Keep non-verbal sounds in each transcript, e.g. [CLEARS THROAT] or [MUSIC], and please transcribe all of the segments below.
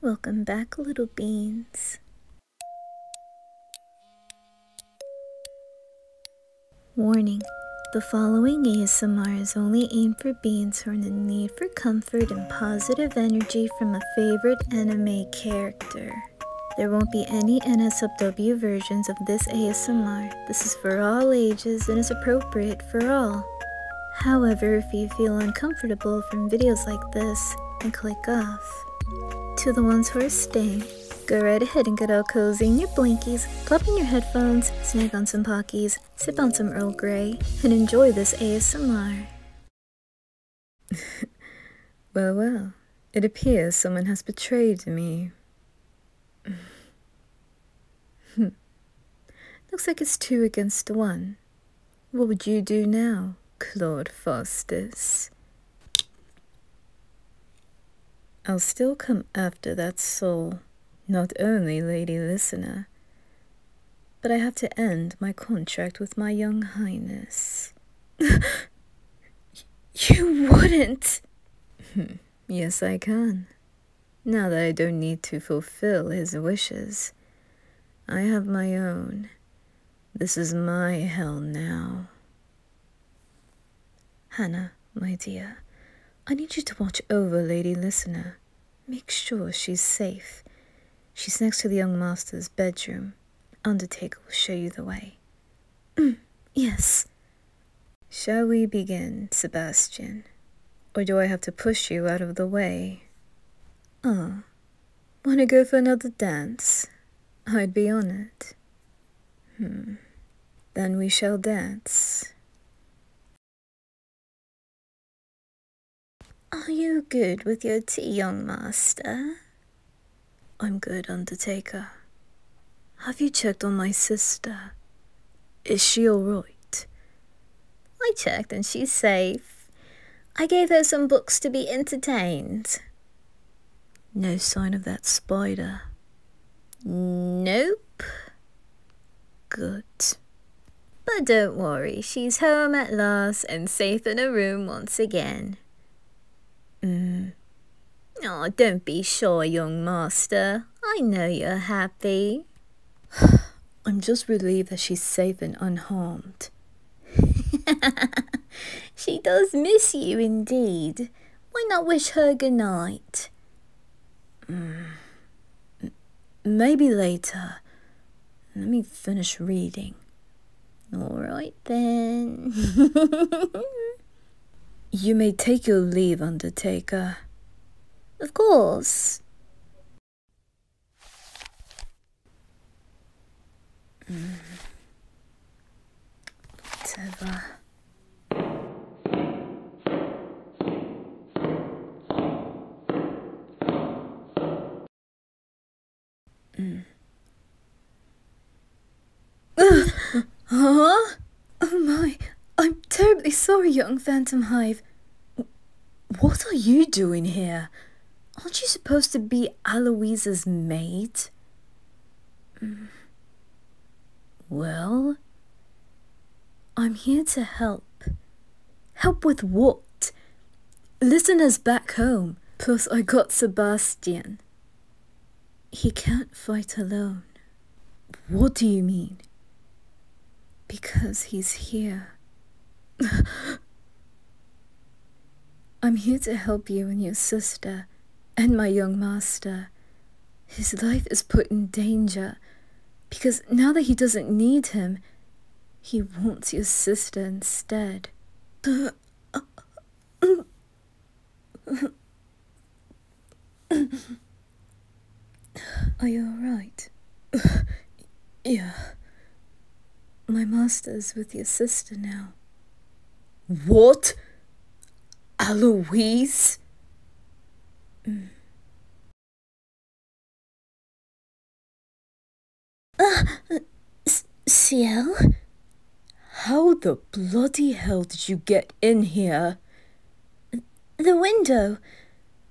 Welcome back, little beans. Warning The following ASMR is only aimed for beans who are in need for comfort and positive energy from a favorite anime character. There won't be any NSFW versions of this ASMR. This is for all ages and is appropriate for all. However, if you feel uncomfortable from videos like this, then click off. To the ones who are staying, go right ahead and get all cozy in your blankies, plop in your headphones, snack on some Pockies, sip on some Earl Grey, and enjoy this ASMR. [LAUGHS] well, well, it appears someone has betrayed me. Hmm. Looks like it's two against one. What would you do now, Claude Faustus? I'll still come after that soul, not only Lady Listener, but I have to end my contract with my young highness. [LAUGHS] you wouldn't! Hmm, yes, I can. Now that I don't need to fulfill his wishes, I have my own. This is my hell now. Hannah, my dear, I need you to watch over Lady Listener. Make sure she's safe. She's next to the young master's bedroom. Undertaker will show you the way. [CLEARS THROAT] yes. Shall we begin, Sebastian? Or do I have to push you out of the way? Ah, wanna go for another dance? I'd be on it. Hmm. Then we shall dance. Are you good with your tea, young master? I'm good, Undertaker. Have you checked on my sister? Is she alright? I checked and she's safe. I gave her some books to be entertained. No sign of that spider? Nope. Good. But don't worry, she's home at last and safe in her room once again. Mm. Oh, don't be sure, young master. I know you're happy. [SIGHS] I'm just relieved that she's safe and unharmed. [LAUGHS] she does miss you indeed. Why not wish her good night? Hmm. Maybe later. Let me finish reading. All right then. [LAUGHS] You may take your leave, Undertaker. Of course huh? [LAUGHS] Oh my, I'm terribly sorry, young Phantom Hive. What are you doing here? Aren't you supposed to be Aloisa's maid? Mm. Well, I'm here to help. Help with what? Listeners back home. Plus, I got Sebastian. He can't fight alone. What do you mean? Because he's here. [LAUGHS] I'm here to help you and your sister, and my young master. His life is put in danger, because now that he doesn't need him, he wants your sister instead. [COUGHS] Are you alright? [COUGHS] yeah. My master's with your sister now. What? Aloise? Mm. [COUGHS] Ciel? How the bloody hell did you get in here? The window.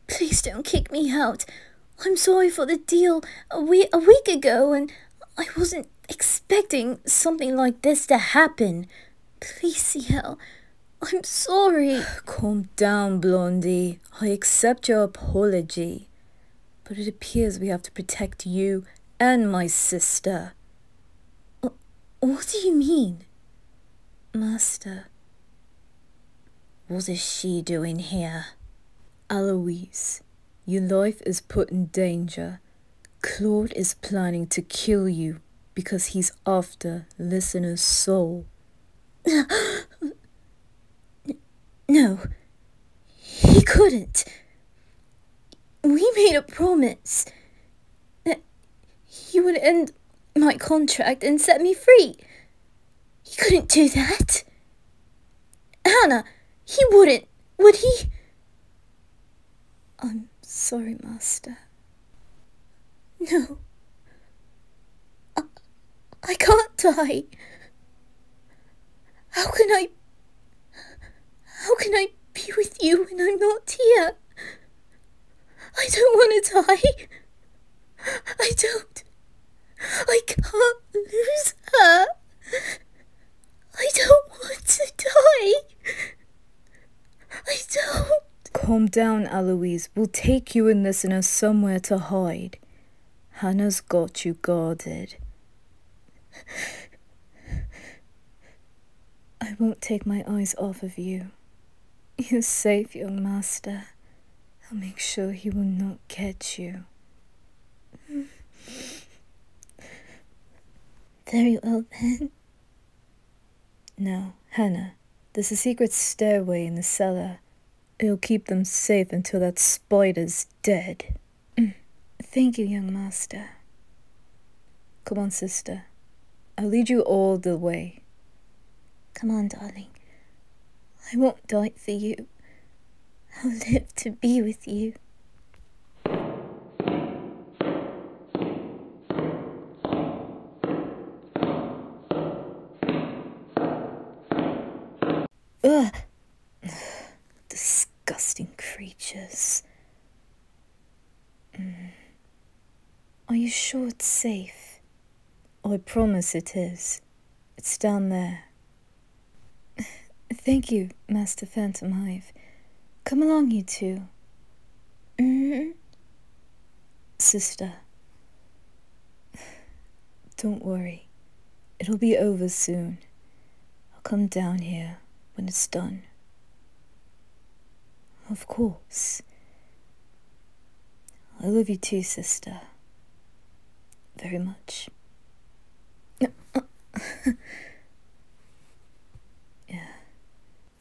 Please don't kick me out. I'm sorry for the deal a week, a week ago, and I wasn't expecting something like this to happen. Please, CL. I'm sorry. [SIGHS] Calm down, Blondie. I accept your apology. But it appears we have to protect you and my sister. What do you mean? Master. What is she doing here? Aloise, your life is put in danger. Claude is planning to kill you because he's after Listener's soul. [GASPS] No, he couldn't. We made a promise that he would end my contract and set me free. He couldn't do that. Anna, he wouldn't, would he? I'm sorry, Master. No. I, I can't die. How can I... How can I be with you when I'm not here? I don't want to die. I don't. I can't lose her. I don't want to die. I don't. Calm down, Eloise. We'll take you and Listener somewhere to hide. Hannah's got you guarded. I won't take my eyes off of you. You're safe, young master. I'll make sure he will not catch you. Very well, then. Now, Hannah, there's a secret stairway in the cellar. It'll keep them safe until that spider's dead. Thank you, young master. Come on, sister. I'll lead you all the way. Come on, darling. I won't die for you. I'll live to be with you. Ugh. Disgusting creatures. Mm. Are you sure it's safe? I promise it is. It's down there. [LAUGHS] Thank you, Master Phantom Hive. Come along, you 2 mm-hmm. Sister. [SIGHS] Don't worry. It'll be over soon. I'll come down here when it's done. Of course. I love you too, sister. Very much. [LAUGHS] yeah.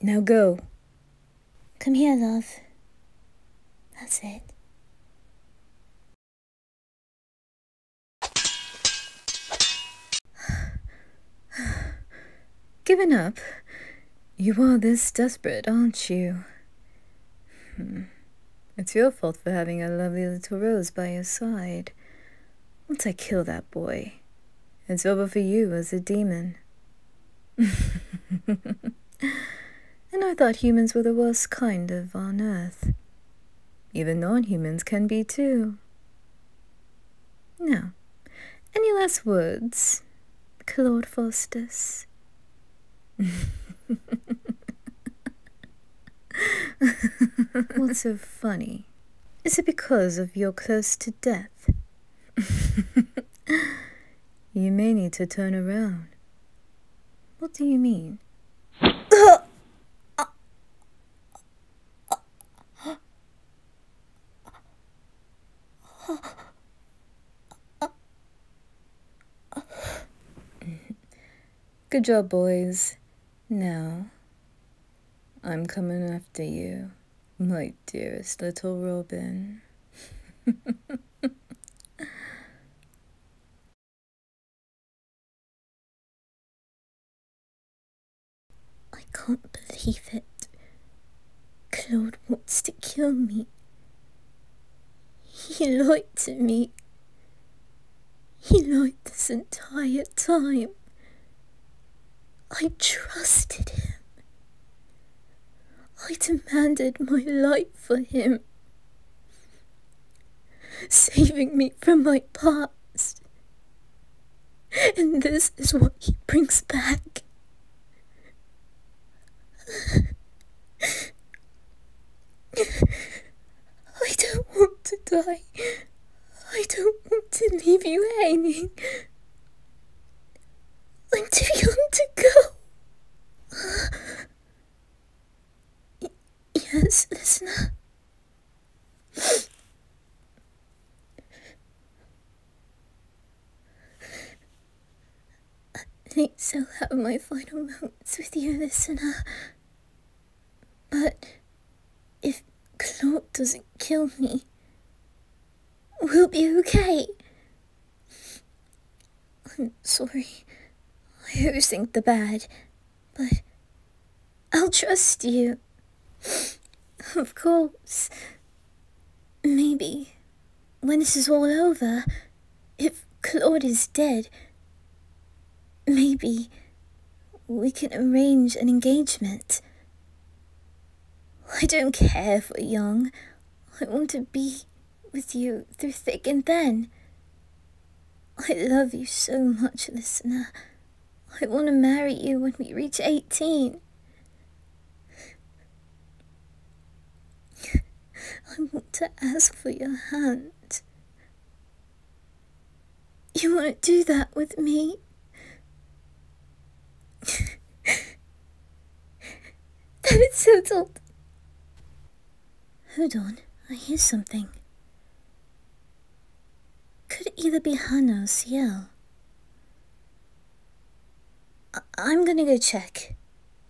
Now go. Come here, love. That's it. Given up? You are this desperate, aren't you? Hmm. It's your fault for having a lovely little rose by your side. Once I kill that boy, it's over for you as a demon. [LAUGHS] and I thought humans were the worst kind of on earth. Even nonhumans can be too. Now, any last words, Claude Faustus? What's so funny? Is it because of your close to death? you may need to turn around. What do you mean? [LAUGHS] Good job, boys. Now, I'm coming after you, my dearest little Robin. [LAUGHS] I can't believe it. Claude wants to kill me. He lied to me. He lied this entire time. I trusted him. I demanded my life for him. [LAUGHS] saving me from my past. And this is what he brings back. [LAUGHS] I don't want to die. I don't want to leave you hanging. I'm too young to go. Yes, listener. I think I'll have my final moments with you, listener. But if Claude doesn't kill me, we'll be okay. I'm sorry. I always think the bad but I'll trust you. [SIGHS] Of course. Maybe when this is all over, if Claude is dead, maybe we can arrange an engagement. I don't care if we're young. I want to be with you through thick and thin. I love you so much, listener. I want to marry you when we reach 18. I want to ask for your hand. You won't do that with me? [LAUGHS] that is so told. Hold on, I hear something. Could either be Hannah or Ciel. I I'm gonna go check.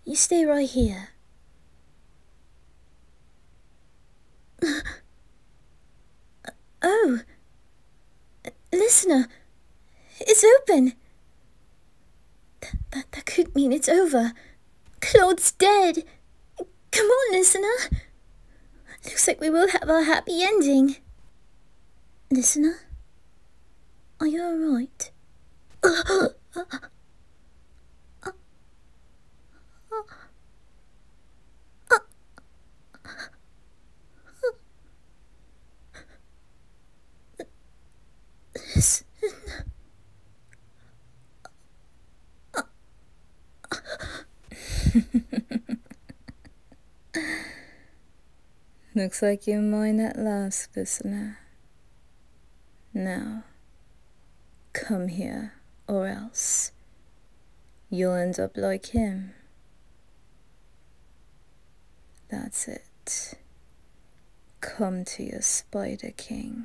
You stay right here. [LAUGHS] oh! Listener! It's open! That, that, that could mean it's over. Claude's dead. Come on, listener. Looks like we will have our happy ending. Listener? Are you alright? Listen. [LAUGHS] Looks like you're mine at last, listener. Now, come here, or else you'll end up like him. That's it. Come to your Spider King.